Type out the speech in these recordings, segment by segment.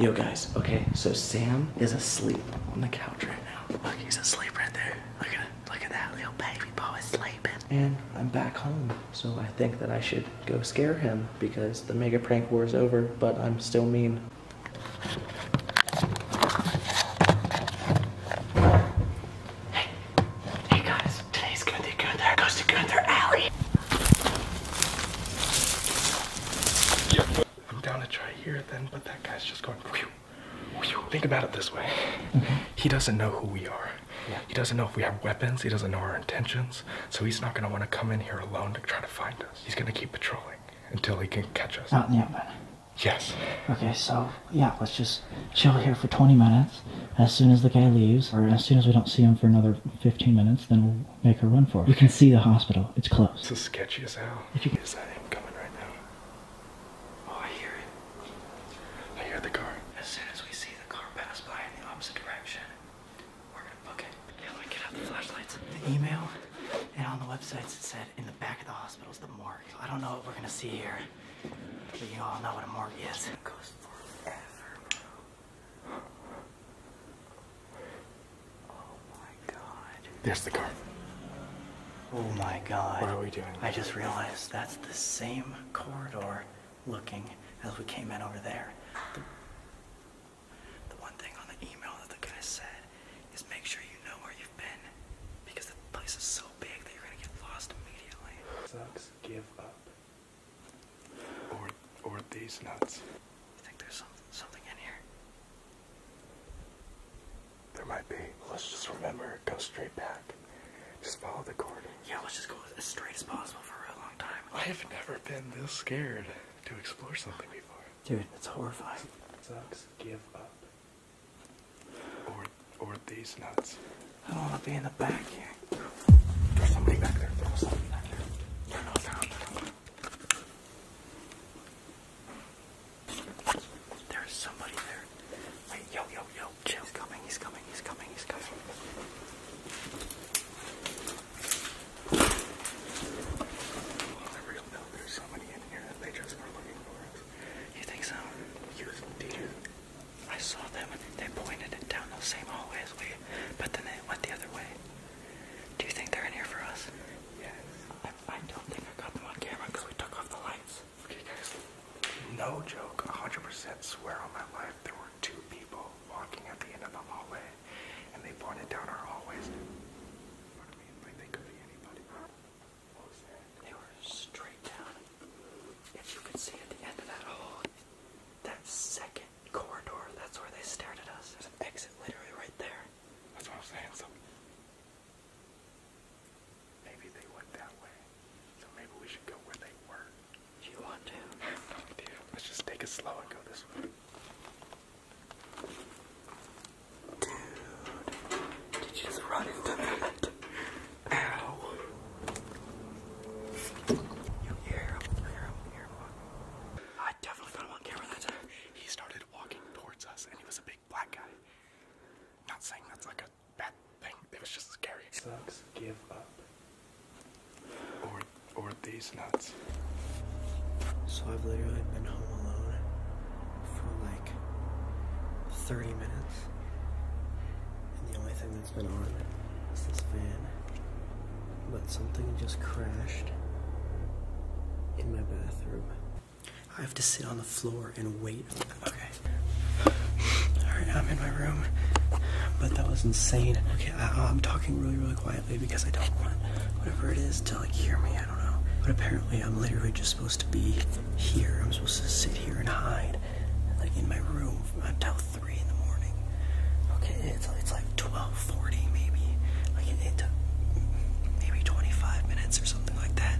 Yo guys, okay, so Sam is asleep on the couch right now. Look, he's asleep right there. Look at it. Look at that little baby boy sleeping. And I'm back home, so I think that I should go scare him because the mega prank war is over, but I'm still mean. Hey, hey guys, today's gonna be Gunther. Goes to Gunther Alley. I'm down to try here then, but that guy's just going, whew, whew. think about it this way. Mm-hmm. He doesn't know who we are. He doesn't know if we have weapons. He doesn't know our intentions. So he's not going to want to come in here alone to try to find us. He's going to keep patrolling until he can catch us. Out in the open. Yes. Okay, so yeah, let's just chill here for 20 minutes. As soon as the guy leaves, or as soon as we don't see him for another 15 minutes, then make her run for it. You can see the hospital. It's close. It's as sketchy as hell. is that him coming right now? Oh, I hear it. I hear the car. As soon as we see the car pass by in the opposite direction, we're gonna book it. Yeah, let me get out the flashlights. The email and on the websites it said in the back of the hospital is the morgue. I don't know what we're gonna see here, but you all know what a morgue is. It goes forever, Oh my god. There's the car. Oh my god. What are we doing? I just realized that's the same corridor looking as we came in over there. The, one thing on the email that the guy said is make sure you know where you've been because the place is so big that you're gonna get lost immediately. Sucks. Give up. Or or these nuts. You think there's something in here? There might be. Let's just remember, go straight back. Just follow the cord. Yeah, let's just go as straight as possible for a long time. I have never been this scared to explore something before. Dude, it's horrifying. Sucks. Give up. Or or these nuts. I don't want to be in the back here. There's somebody back there. Turn off, turn There's somebody there. Wait, yo, yo, yo. Chill. He's coming, he's coming, he's coming, he's coming. You think so? You, do I saw them and they pointed it down those same hallways, we, but then they went the other way. Do you think they're in here for us? Yes. I, don't think I got them on camera because we took off the lights. Okay, guys. No joke, 100% swear on my life, there were two people walking at the end of the hallway, and they pointed down our hallways. What I mean, like they could be anybody. What was that? They were straight down if you could see at the end of that hole, that second corridor, that's where they stared at us. There's an exit literally right there. That's what I'm saying. So maybe they went that way. So maybe we should go where they were. If you want to. Let's just take it slow and go this way. Dude, did you just run into that? Ow. You hear him, you I definitely got him on camera that time. He started walking towards us and he was a big black guy. Not saying that's like a bad thing, it was just scary. Sucks, give up. Or, or these nuts. So I've literally been home alone for like 30 minutes. And the only thing that fan's been on. this fan. But something just crashed in my bathroom. I have to sit on the floor and wait. Okay. Alright, I'm in my room. But that was insane. Okay, I, am talking really, really quietly because I don't want whatever it is to like hear me. I don't know. But apparently I'm literally just supposed to be here. I'm supposed to sit here and hide like in my room until three in the morning. Okay, it's it's like twelve forty maybe. Like it, took maybe twenty five minutes or something like that.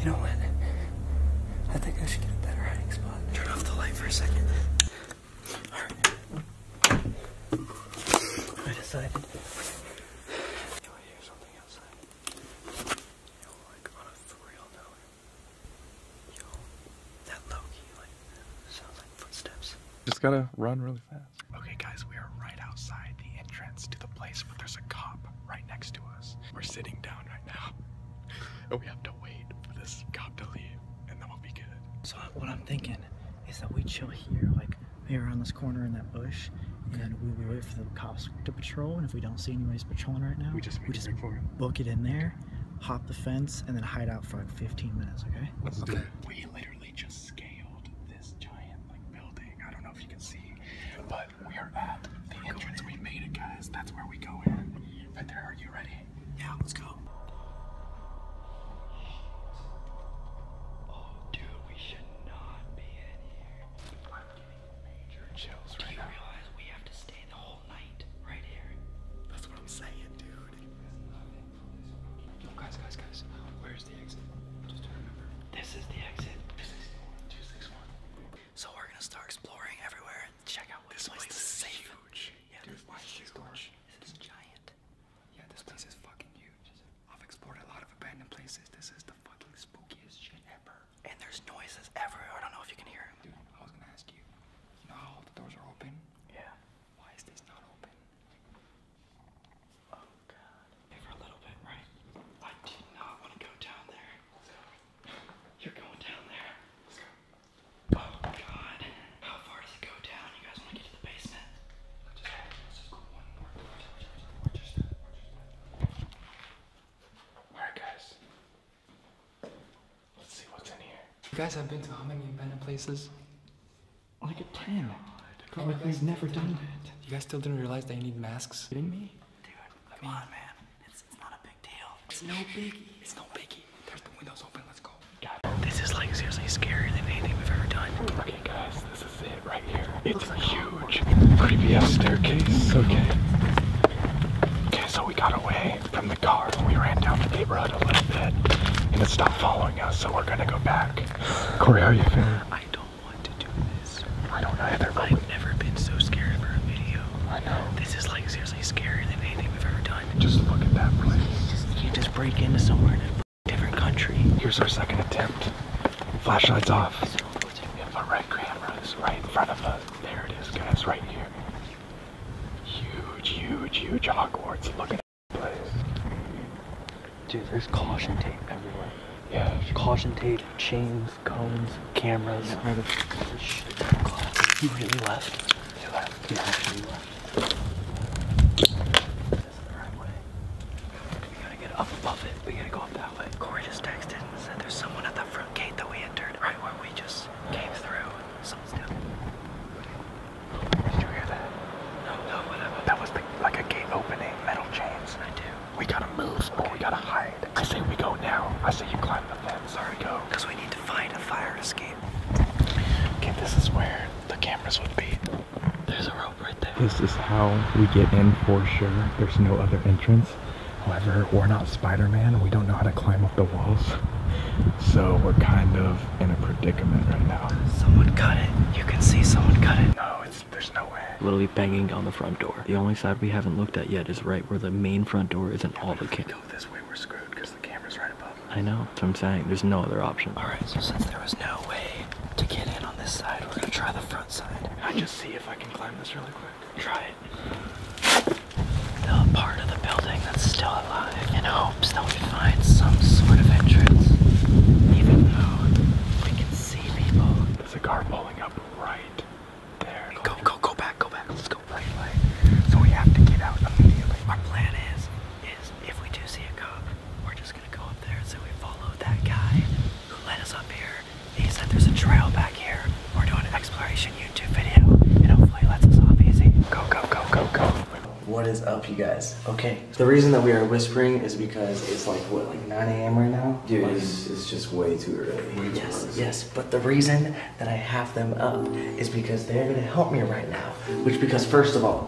You know what? I think I should get a better hiding spot. Turn off the light for a second. Alright. I decided I hear something outside. like on a for note, Yo, that low key like sounds like footsteps. Just gotta run really fast. Okay, guys, we are right outside the entrance to the place, but there's a cop right next to us. We're sitting down right now, and we have to wait for this cop to leave, and then we'll be good. So what I'm thinking is that we chill here, like here on this corner in that bush, and we, wait for the cops to patrol. And if we don't see anybody's patrolling right now, we just, we just book it in there, hop the fence, and then hide out for like 15 minutes. Okay. okay. We literally just scaled this giant like building. I don't know if you can see, but we are at the entrance. We made it, guys. That's where we go in. Right there. Are you ready? Yeah. Let's go. Oh, dude, major chills Do right you now. realize we have to stay the whole night right here? That's what I'm saying, dude. Yo, guys, guys, guys. Where's the exit? Just remember. This is the exit. This is 261. So we're gonna start exploring everywhere and check out what this place, place is safe. Huge. Yeah, dude, this place is huge. Large. This is giant. Yeah, this place is fucking huge. I've explored a lot of abandoned places. This is the fucking spookiest shit ever and there's noises everywhere. I don't know if you can hear them. Dude, I was gonna ask you, you know how the doors are open? Yeah. Why is this not open? Oh god. For a little bit, right? I do not want to go down there. You're going down there. Let's go. Oh god. How far does it go down? You guys want to get to the basement? Let's just, let's just go one more door. Just, just, just, just, just, Alright guys. Let's see what's in here. You guys have been to how many abandoned places? Like a ten. God. Oh, we've never done that. You guys still didn't realize that you need masks? Kidding me? Dude, come on man. It's, it's not a big deal. It's no biggie. It's no biggie. There's the windows open, let's go. This is like seriously scarier than anything we've ever done. Okay guys, it's like huge. Creepy ass staircase. Okay. Okay, so we got away from the car. We ran down the neighborhood a little bit. And it stopped following us, so we're gonna go back. Corey, how are you feeling? I don't want to do this. I don't either. I've never been so scared for a video. I know. This is like seriously scarier than anything we've ever done. Just look at You just, you just break into somewhere and different country. Here's our second attempt. Flashlights off. So We have a red camera. It's right in front of us. There it is, guys, right here. Huge, huge, huge Hogwarts. Look at this place. Dude, there's caution tape everywhere. Yeah. Caution tape, chains, cones, cameras. Yeah. really left. We gotta get up above it. We gotta go up that way. Corey just texted and said there's someone at the front gate that we entered, right where we just came through. Someone's down Did you hear that? No, no, whatever. That was like a gate opening, metal chains. I do. We gotta move, okay. we gotta hide. I say we go now. I say you climb the fence. Sorry, go. Because we need to find a fire escape. Okay, this is where the cameras would be. This is how we get in for sure. There's no other entrance. However, we're not Spider-Man. We don't know how to climb up the walls. So we're kind of in a predicament right now. Someone cut it. You can see someone cut it. No, it's there's no way. Literally banging on the front door. The only side we haven't looked at yet is right where the main front door is and all the kids. Go this way, we're screwed because the camera's right above. I know. That's I'm saying. There's no other option. All right. So since there was no way to get in on this side, we're gonna try the front side. I just see if I can climb this really quick. Try it. The part of the building that's still alive in hopes that we find some sort of entrance. Even though we can see people. There's a car pulling up right there. Go, go, go back, go back. Let's go right, right. So we have to get out immediately. Our plan is, is if we do see a cop, we're just gonna go up there, so we followed that guy who led us up here. He said there's a trail back here. We're doing an exploration YouTube video, and hopefully it lets us off easy. Go, go, go, go, go. What is up, you guys? Okay, the reason that we are whispering is because it's like, what, like 9 a.m. right now? Dude, it's, just way too early. yes, too early. yes, but the reason that I have them up is because they're gonna help me right now. Which, because first of all,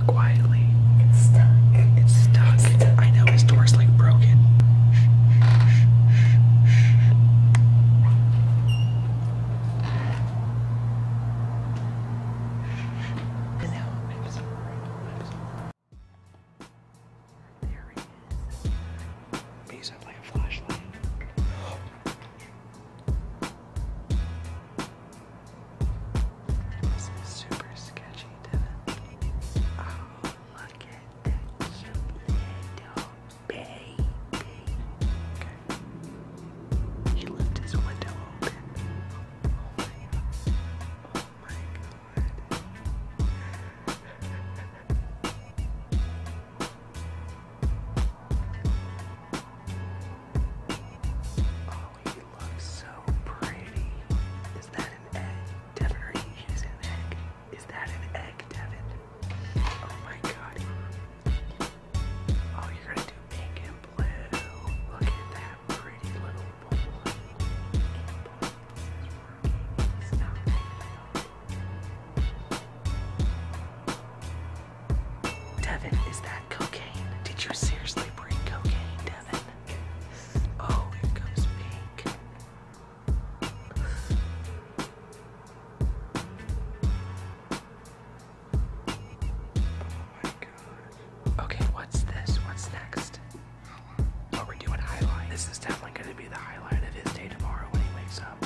quietly. It's stuck. It's stuck. It's stuck. I know his door's like broken. I know. I'm sorry. I'm sorry. There he is. I used to have like a flashlight. This is super sketchy, Devin. Oh, look at that little baby. He left his window open. Oh my god. Oh my god. Oh, you so pretty. Is that an egg? Devin, are you an egg? Is that an egg, Devin? Oh my god. Oh, you're gonna do pink and blue. Look at that pretty little boy. Devin, is that cocaine? Did you seriously bring cocaine, Devin? Oh, here comes pink. Oh my god. Okay, what's this? What's next? Oh, we doing This is definitely gonna be the highlight of his day tomorrow when he wakes up.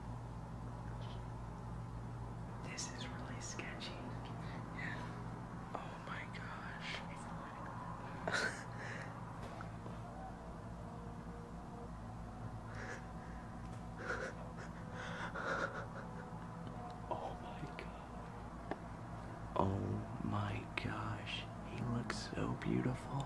This is really sketchy. Yeah. Oh my gosh. oh my god. Oh my gosh. He looks so beautiful.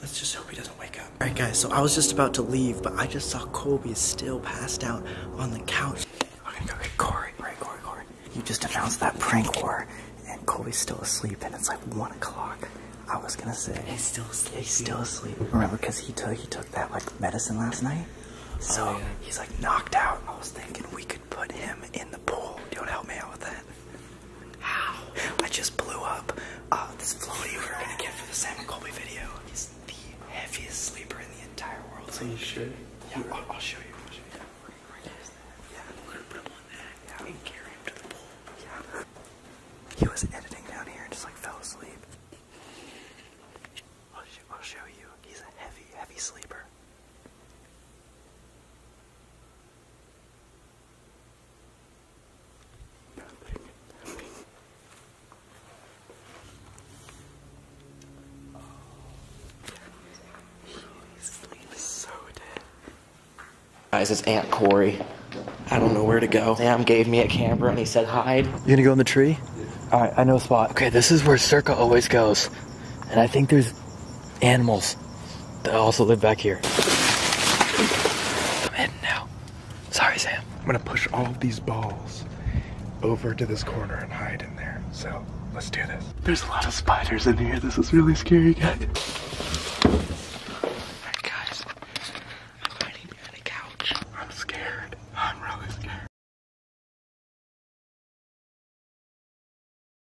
Let's just hope he doesn't wake up. Alright guys, so I was just about to leave, but I just saw Kobe is still passed out on the couch. I'm Corey. Alright, Corey, Corey. You just announced that prank war, and Kobe's still asleep, and it's like 1 o'clock. I was gonna say. He's still asleep. He's still asleep. Remember, because he took, he took that like medicine last night. Oh, so he's like knocked out. I was thinking we could put him in the pool. Do you want to help me out with that? How? I just blew up uh, this floaty we were gonna get for the Sam and Colby video. He's the heaviest sleeper in the entire world. Are you sure? Yeah, I'll, I'll show you. I'll show you. Right next to that. Yeah, I'm gonna put him on that yeah. and carry him to the pool. Yeah. He was editing down here and just like fell asleep. I'll, sh I'll show you. He's a heavy, heavy sleeper. Guys, it's Aunt Cory. I don't know where to go. Sam gave me a camera and he said hide. You gonna go in the tree? All right, I know a spot. Okay, this is where Circa always goes. And I think there's animals that also live back here. I'm hidden now. Sorry, Sam. I'm gonna push all of these balls over to this corner and hide in there. So let's do this. There's a lot of spiders in here. This is really scary, guys. Alright, guys. I'm hiding behind a couch. I'm scared. I'm really scared.